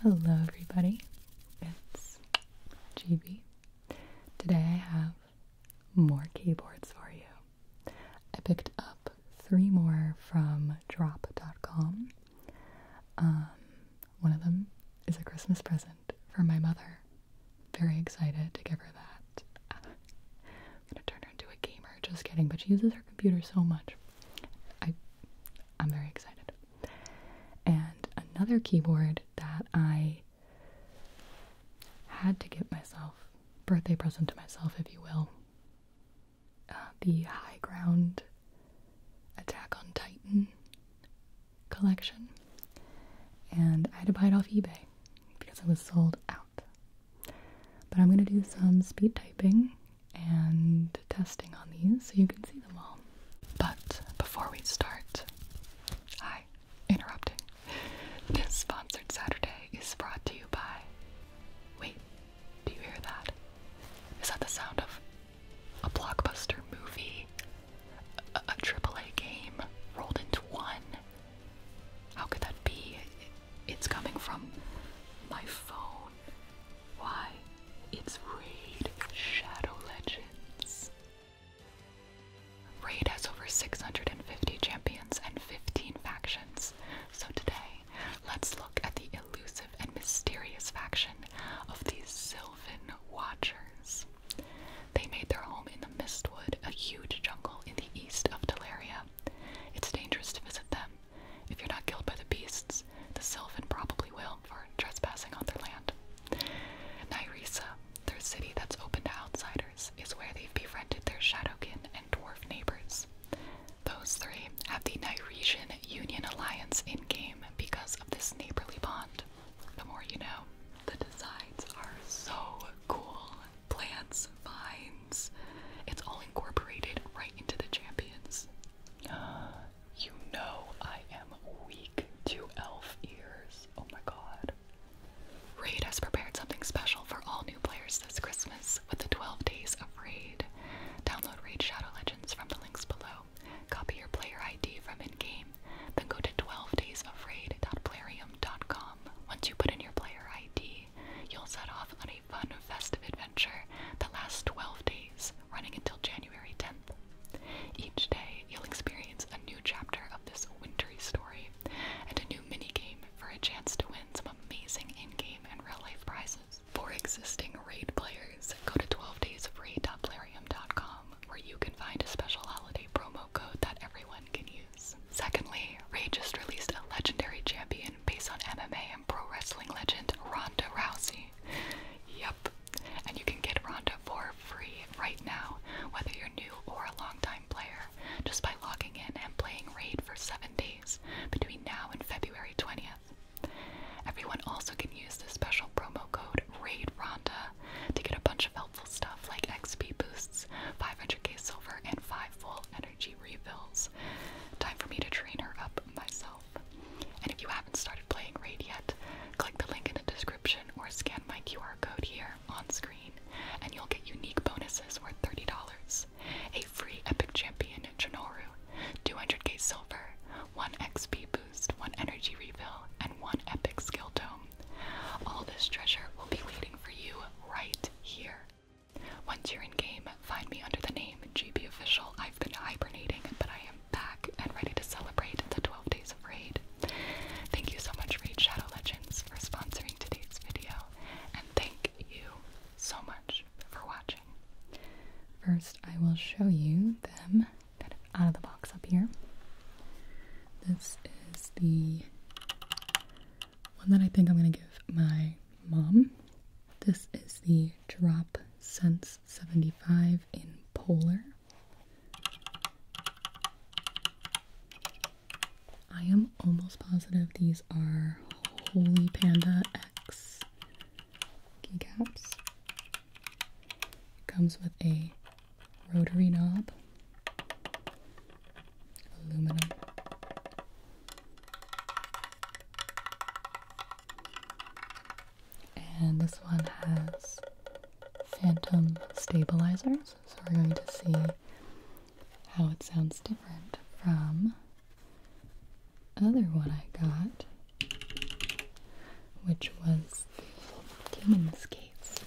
Hello everybody, it's GB. Today I have more keyboards for you. I picked up three more from drop.com. Um, one of them is a Christmas present for my mother. Very excited to give her that. I'm gonna turn her into a gamer, just kidding, but she uses her computer so much. I I'm very excited. And another keyboard that I had to give myself, birthday present to myself, if you will, uh, the High Ground Attack on Titan collection. And I had to buy it off eBay because it was sold out. But I'm going to do some speed typing and testing on these so you can see them all. But before we start, hi, interrupting. This sponsored Saturday is brought to you by. Wait, do you hear that? Is that the sound of a blockbuster movie? A, triple a game rolled into one? How could that be? it's coming from my phone. Why, it's Raid Shadow Legends. Raid has over 650 champions and 15 factions, so today let's look at the elusive and mysterious faction of the Sylvan Watchers. They made their home in the Mistwood, a huge jungle in the east of Teleria. It's dangerous to visit them if you're not killed by the beasts, the Sylvan probably will for trespassing on their land. Nyresa, their city that's open to outsiders, is where they've befriended their shadowkin and dwarf neighbors. Those three have the Nyresian Union Alliance in game because of this neighborly bond. The more you know. The designs are so cool. Plants, vines. It's all incorporated right into the champions. You know I am weak to elf ears. Oh my god. Raid has prepared something special for all new players this Christmas with the 12 days of Raid. Download Raid Shadow Legends from the links below. Copy your player ID from in-game, then go to 12daysofraid.plarium.com. Once you put in your player ID, you'll set off on a fun festive adventure that lasts 12 days, running until January 10th. Each day, you'll experience a new chapter of this wintry story and a new minigame for a chance to win some amazing in game and real life prizes. For existing raid players, go to 12daysofraid.plarium.com where you can find a special holiday promo code that everyone can use. Secondly, Raid just released a legendary champion based on MMA pro wrestling legend Ronda Rousey. Yep, and you can get Ronda for free right now, whether you're new or a long-time player, just by logging in and playing Raid for seven days between now and February 20th. Everyone also can use the special promo code RAIDRonda to get a bunch of helpful stuff like XP boosts, 500k silver, and 5 full energy refills. Time for me to train her up myself. And if you haven't started playing Raid yet, click the link in the description or scan my QR code here on screen, and you'll get unique bonuses worth $30, a free Epic Champion Janoru, 200k silver, 1 XP boost, 1 energy refill, and 1 Epic skill tome. All this treasure will be waiting for you right here. Once you're in game, Find me under the name GB Official. I've been hibernating, but I am back and ready to celebrate the 12 days of Raid. Thank you so much, Raid Shadow Legends, for sponsoring today's video, and thank you so much for watching. First, I will show you them out of the box up here. This is the one that I think I'm going to give my mom. This is the Drop Sense 75 in Polar. I am almost positive these are Holy Panda X keycaps. Comes with a rotary knob, aluminum and this one has phantom stabilizers, so we're going to see how it sounds different from other one I got, which was Demon King's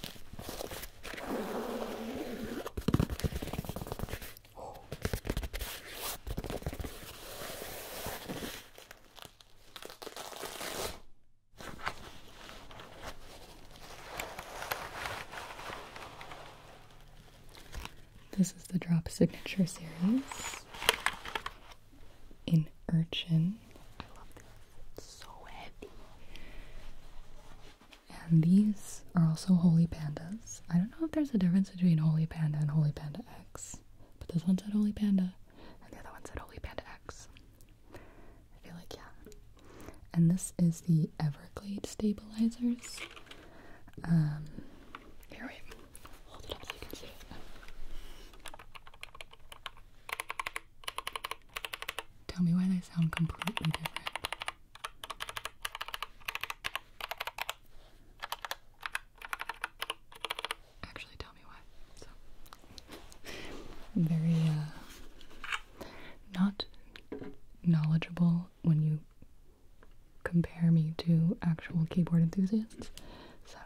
this is the Drop Signature series in Urchin. I love this. so heavy. And these are also Holy Pandas. I don't know if there's a difference between Holy Panda and Holy Panda X. But this one said Holy Panda, and the other one said Holy Panda X. I feel like, yeah. And this is the Everglade stabilizers. Um, here, wait. Hold it up so you can see it. Tell me why they sound completely different. Actually, tell me why. So, I'm very uh, not knowledgeable when you compare me to actual keyboard enthusiasts. So,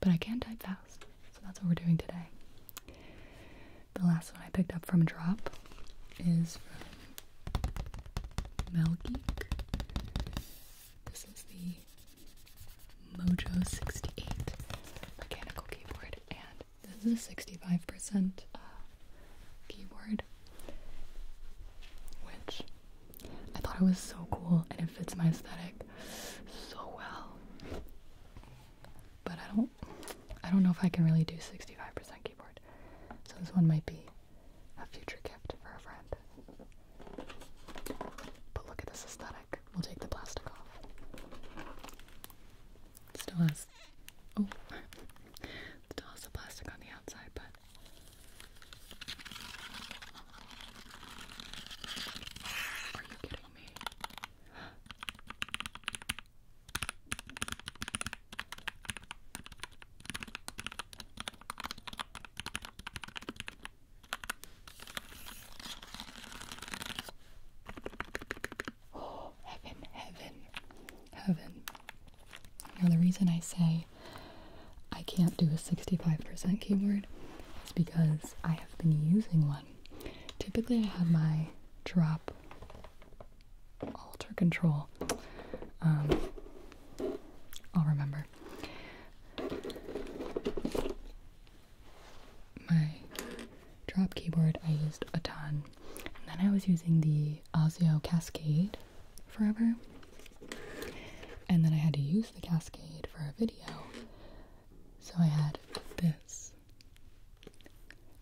but I can type fast, so that's what we're doing today. The last one I picked up from Drop is from Geek. This is the Mojo 68 mechanical keyboard, and this is a 65% uh, keyboard, which I thought it was so cool and it fits my aesthetic so well. But I don't, I don't know if I can really do 65% keyboard, so this one might be a future gift for a friend. But look at this aesthetic. We'll take the plastic off. still has oh still has the plastic on the outside, but are you kidding me? Oh, heaven, heaven, heaven. Now, the reason I say I can't do a 65% keyboard is because I have been using one. Typically, I have my drop alter control. Um, I'll remember my drop keyboard I used a ton and then I was using the Osio Cascade forever and then I had to use the Cascade for a video so I had this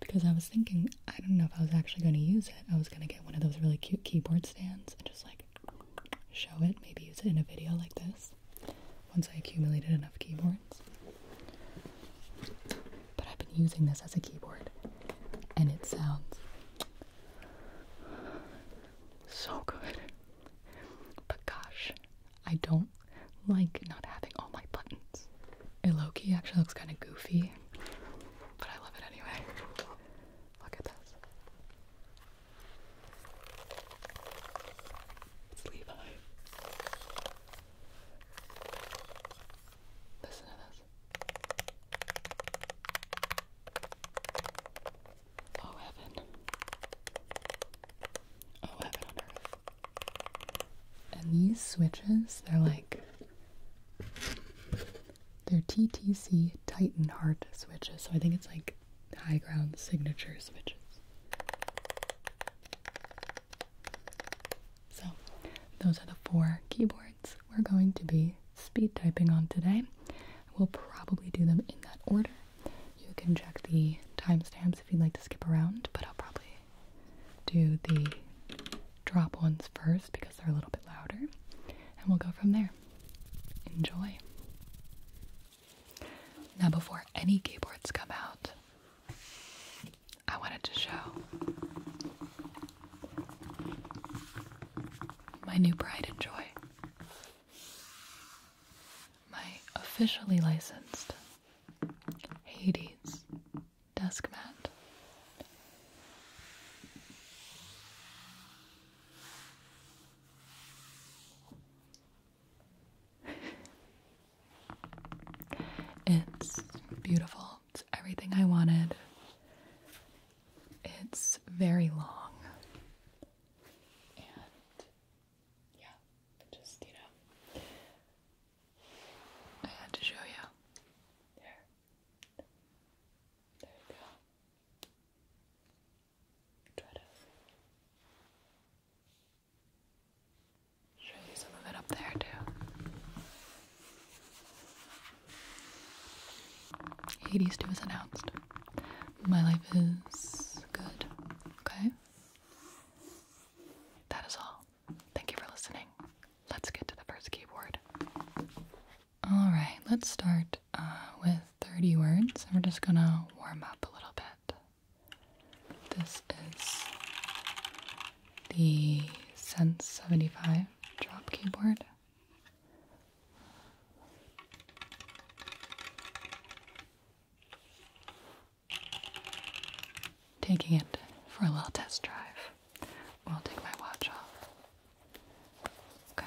because I was thinking I don't know if I was actually going to use it I was going to get one of those really cute keyboard stands and just like show it, maybe use it in a video like this once I accumulated enough keyboards. But I've been using this as a keyboard and it sounds so good. But gosh, I don't like not having all my buttons. It low key actually looks kind of goofy, but I love it anyway. Look at this. It's Levi. Listen to this. Oh heaven. Oh heaven on earth. And these switches, they're like they're TTC Titan Heart switches. So I think it's like high ground signature switches. So, those are the four keyboards we're going to be speed typing on today. We'll probably do them in that order. You can check the timestamps if you'd like to skip around, but I'll probably do the drop ones first because they're a little bit louder, and we'll go from there. Enjoy. Now, before any keyboards come out, I wanted to show my new pride and joy. My officially licensed Hades desk mat it's beautiful. It's everything I wanted. It's very long. yeah, just, you know, I had to show you. There. There you go try to show you some of it up there too. Hades 2 was announced. My life is good. Okay? That is all. Thank you for listening. Let's get to the first keyboard. Alright, let's start uh, with 30 words. We're just gonna warm up a little bit. This is the Sense 75 drop keyboard. Taking it for a little test drive. I'll take my watch off. Okay.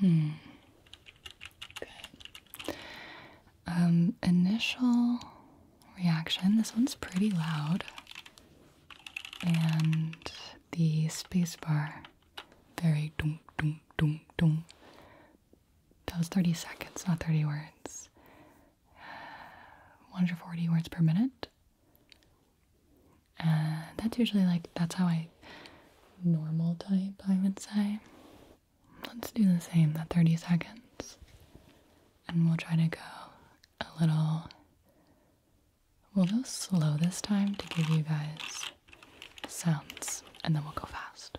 Hmm. Good. Um, initial reaction. This one's pretty loud. And the spacebar very dum dum dum dum that 30 seconds, not 30 words. 140 words per minute. And that's usually like, that's how I normal type, I would say. Let's do the same, that 30 seconds. And we'll try to go a little, we'll go slow this time to give you guys sounds, and then we'll go fast.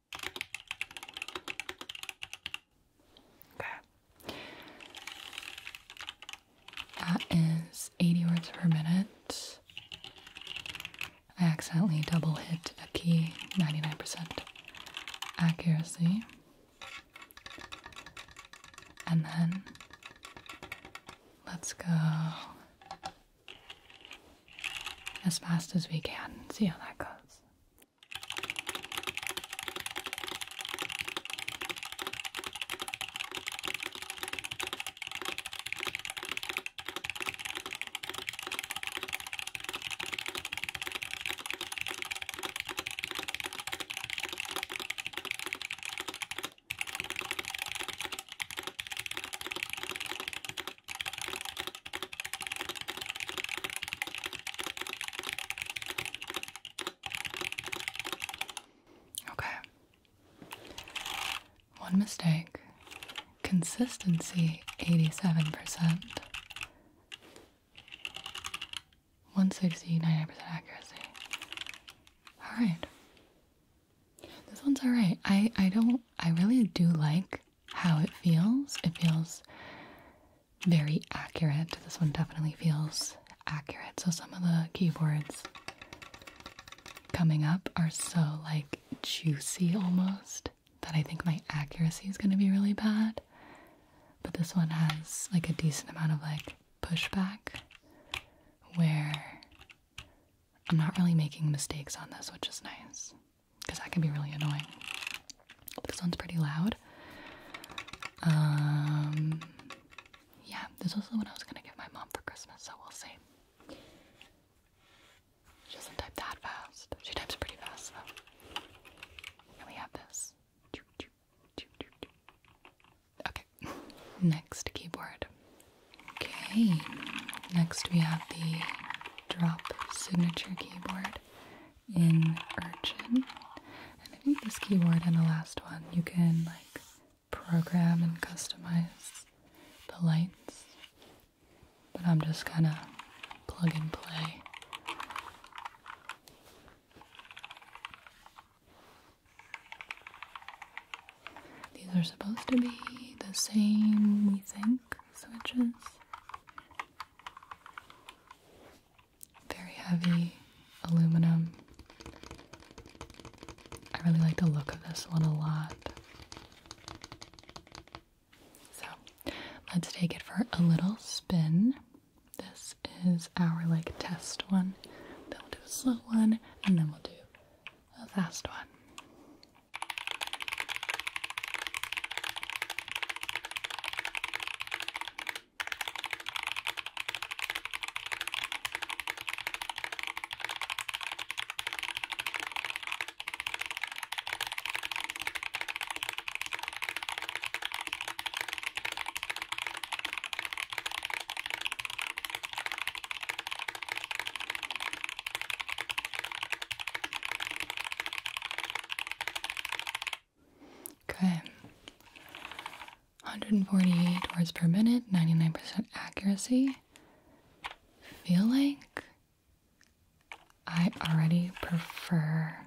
Okay. That is 80 words per minute. I accidentally double hit a key, 99% accuracy. And then let's go as fast as we can see how that goes. Okay. One mistake. Consistency 87%. One sixty-nine percent accuracy. Alright. This one's alright. I I don't I really do like how it feels. It feels very accurate. This one definitely feels accurate. So some of the keyboards coming up are so like juicy almost that I think my accuracy is going to be really bad. But this one has like a decent amount of like pushback where I'm not really making mistakes on this, which is nice because that can be really annoying. This one's pretty loud. Um, yeah, this was the one I was gonna give my mom for Christmas, so we'll see. She doesn't type that fast. She types pretty fast though. And we have this. Okay, next keyboard. Okay, next we have the drop signature keyboard in Urchin. And I think this keyboard and the last one you can like program and customize the lights. But I'm just gonna plug and play. These are supposed to be the same, we think pink switches. Very heavy aluminum. I really like the look of this one a lot. So let's take it for a little spin. This is our like test one. Then we'll do a slow one and then we'll do the last one. Okay. 148 words per minute, 99% accuracy. Feel like I already prefer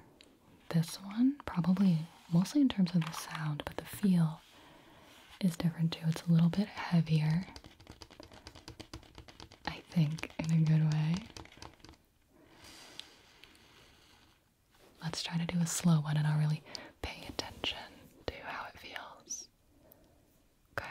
this one, probably mostly in terms of the sound, but the feel is different too. It's a little bit heavier. I think, in a good way. Let's try to do a slow one and I'll really pay attention to how it feels. Okay.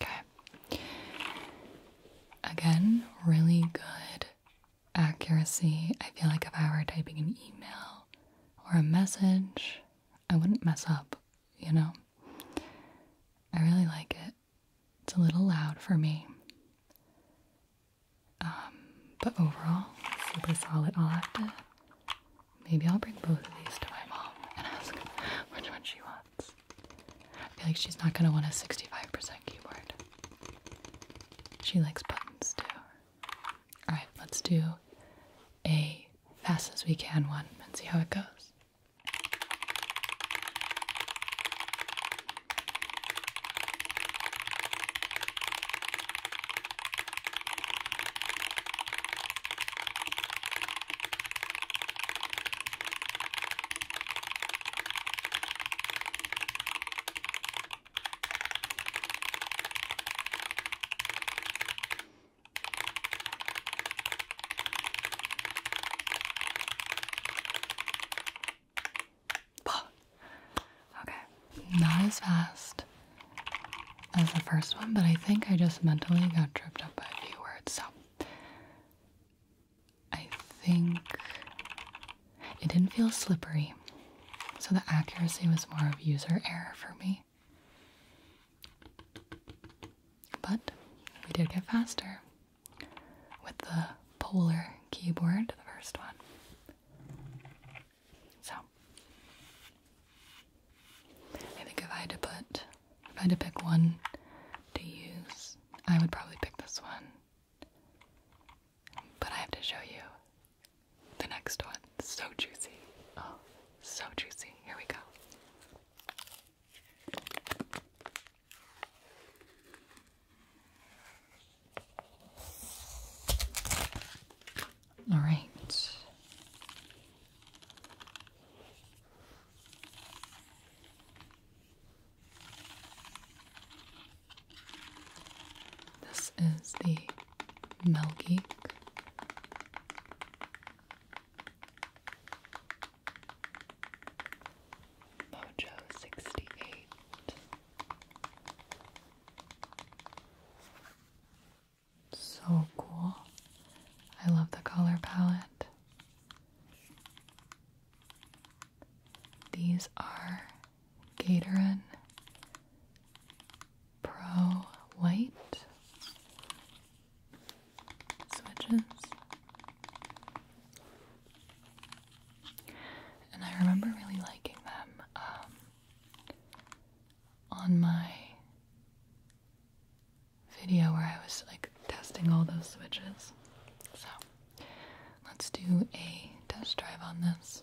Okay. Again, really good accuracy. I feel like if I were typing an email or a message, I wouldn't mess up, you know? I really like it. It's a little loud for me. Um, but overall, super solid. I'll have to. Maybe I'll bring both of these to my mom and ask which one she wants. I feel like she's not gonna want a 65% keyboard. She likes buttons too. All right, let's do a fast as we can one and see how it goes. Okay, not as fast as the first one, but I think I just mentally got tripped up by a few words, so I think it didn't feel slippery. So the accuracy was more of user error for me. But we did get faster with the polar keyboard, the first one. So I think if I had to put if I had to pick one to use, I would probably pick this one. But I have to show you the next one. So juicy. Oh, so juicy. Here we go. All right. This is the Melgeek. Mojo 68. So cool. I love the color palette. These are Gatorade Pro White switches. And I remember really liking them um, on my video where I was like testing all those switches. So let's do a test drive on this.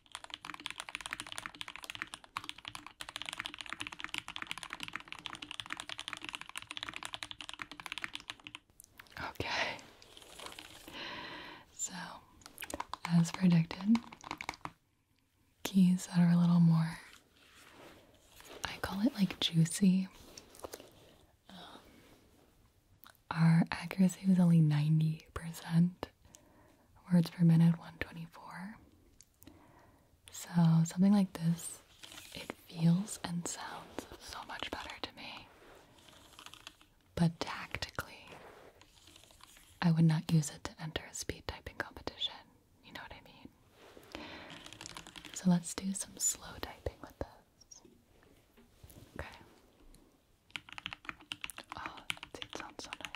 Okay. So, as predicted, keys that are a little more, I call it like juicy. Um, our accuracy was only 90% words per minute 124. So, something like this, it feels and sounds so much better to me. But tactically, I would not use it to enter a speed typing competition. You know what I mean? So, let's do some slow typing with this. Okay. Oh, it sounds so nice.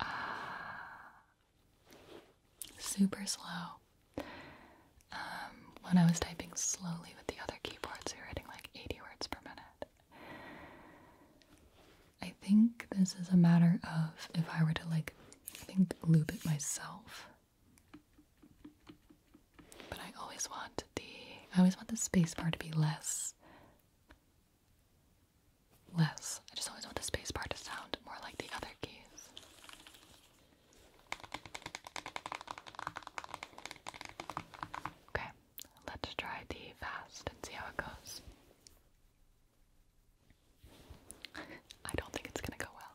Ah. super slow. Um, when I was typing slowly with the other keyboards, we were hitting like 80 words per minute. I think this is a matter of if I were to like, think, loop it myself. But I always want the, I always want the space bar to be less less. I just always want the space bar to sound more like the other keys. Okay, let's try the fast and see how it goes. I don't think it's gonna go well.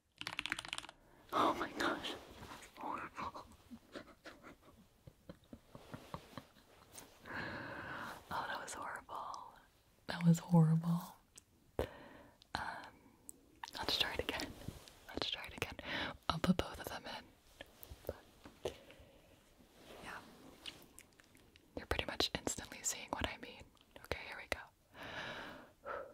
Oh my gosh, it's horrible. oh, that was horrible. That was horrible. Um, let's try it again. Let's try it again. I'll put both of them in. yeah. You're pretty much instantly seeing what I mean. Okay, here we go.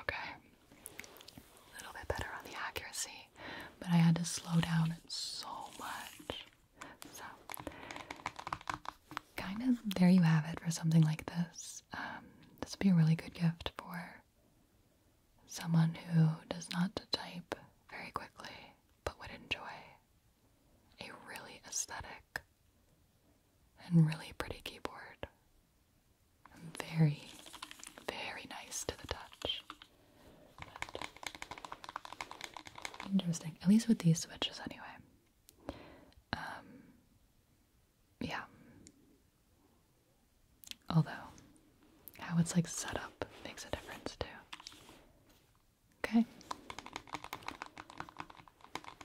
Okay, a little bit better on the accuracy, but I had to slow down so much. So, kind of there you have it for something like this. Um, this would be a really good gift for someone who does not type very quickly but would enjoy a really aesthetic and really pretty keyboard. very, very nice to the touch. interesting. At least with these switches, anyway. Um, yeah. Although, how it's like set up makes a difference too. Okay.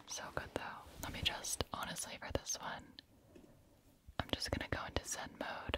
So good though. Let me just, honestly, for this one, I'm just gonna go into Zen mode.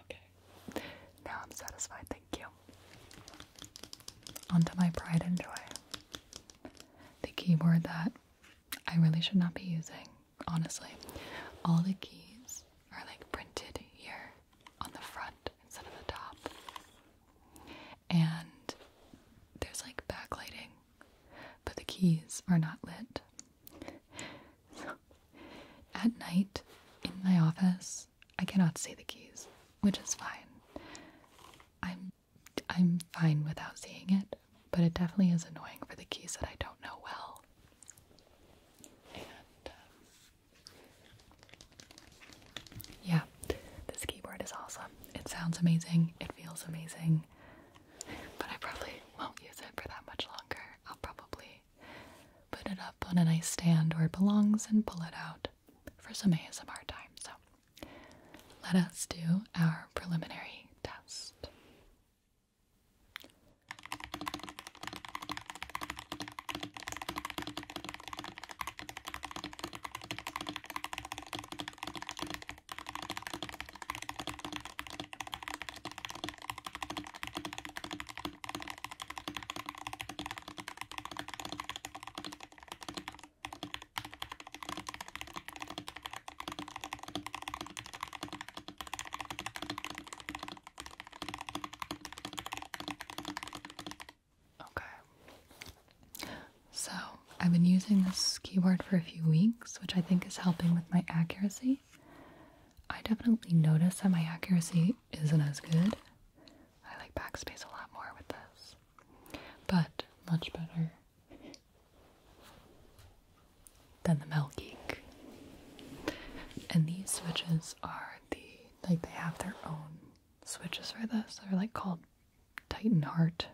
Okay. Now I'm satisfied, thank you. On my pride and joy the keyboard that I really should not be using, honestly. All the keys are like printed here on the front instead of the top. And there's like backlighting, but the keys are not lit. So at night in my office, I cannot see the keys, which is fine. I'm I'm fine without seeing it, but it definitely is annoying for the keys that I don't know well. Um, yeah, this keyboard is awesome. It sounds amazing, it feels amazing, but I probably won't use it for that much longer. I'll probably put it up on a nice stand where it belongs and pull it out for some ASMR time. So let us do our preliminary test. Okay. So, I've been using this keyboard for a few weeks, which I think is helping with my accuracy. I definitely notice that my accuracy isn't as good. I like backspace a lot more with this but much better than the Mel Geek. And these switches are the like they have their own switches for this. They're like called Titan Heart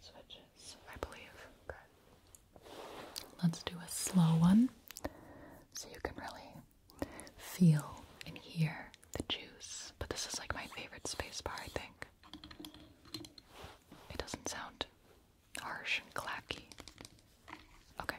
switches, I believe. Let's do a slow one so you can really feel and hear the juice, but this is like my favorite spacebar, I think. It doesn't sound harsh and clacky. Okay.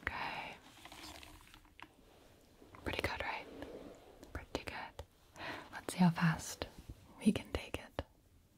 Okay. Pretty good, right? Pretty good. Let's see how fast we can take it.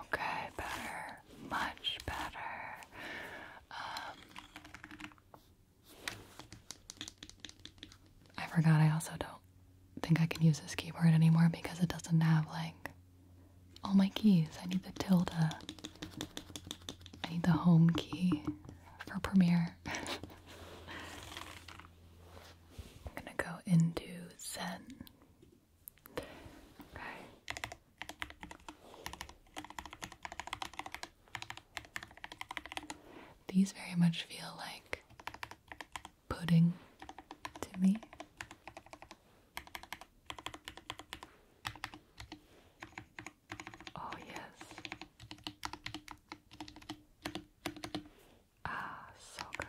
Okay, better, much better. Um, I forgot I also don't think I can use this keyboard anymore because it doesn't have like all my keys. I need the tilde. I need the home key for Premiere. I'm gonna go into Zen. These very much feel like pudding to me. Oh, yes. Ah, so good.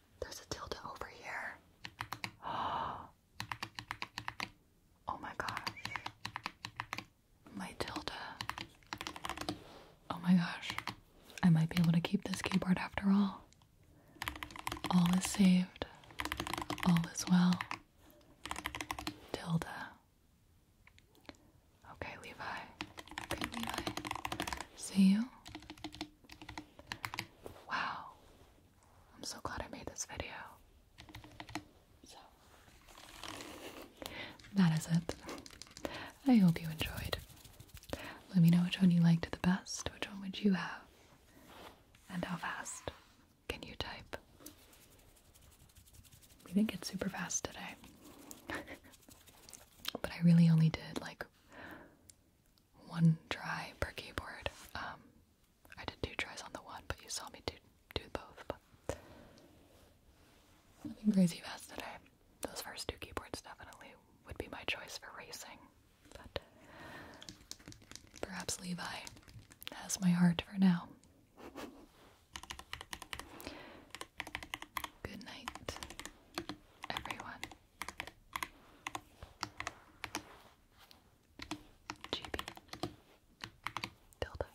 There's a tilde over here. Oh my gosh. My tilde. Oh my gosh. I might be able to keep this keyboard after all. All is saved. All is well. Tilde. Okay, Levi. Levi. See you Wow. I'm so glad I made this video. So, that is it. I hope you enjoyed. Let me know which one you liked the best. Which one would you have? And how fast can you type? We didn't get super fast today. but I really only did like one try per keyboard. Um, I did two tries on the one, but you saw me do do both. But nothing crazy fast today. Those first two keyboards definitely would be my choice for racing, but perhaps Levi has my heart for now. Good night, everyone. GB Delta.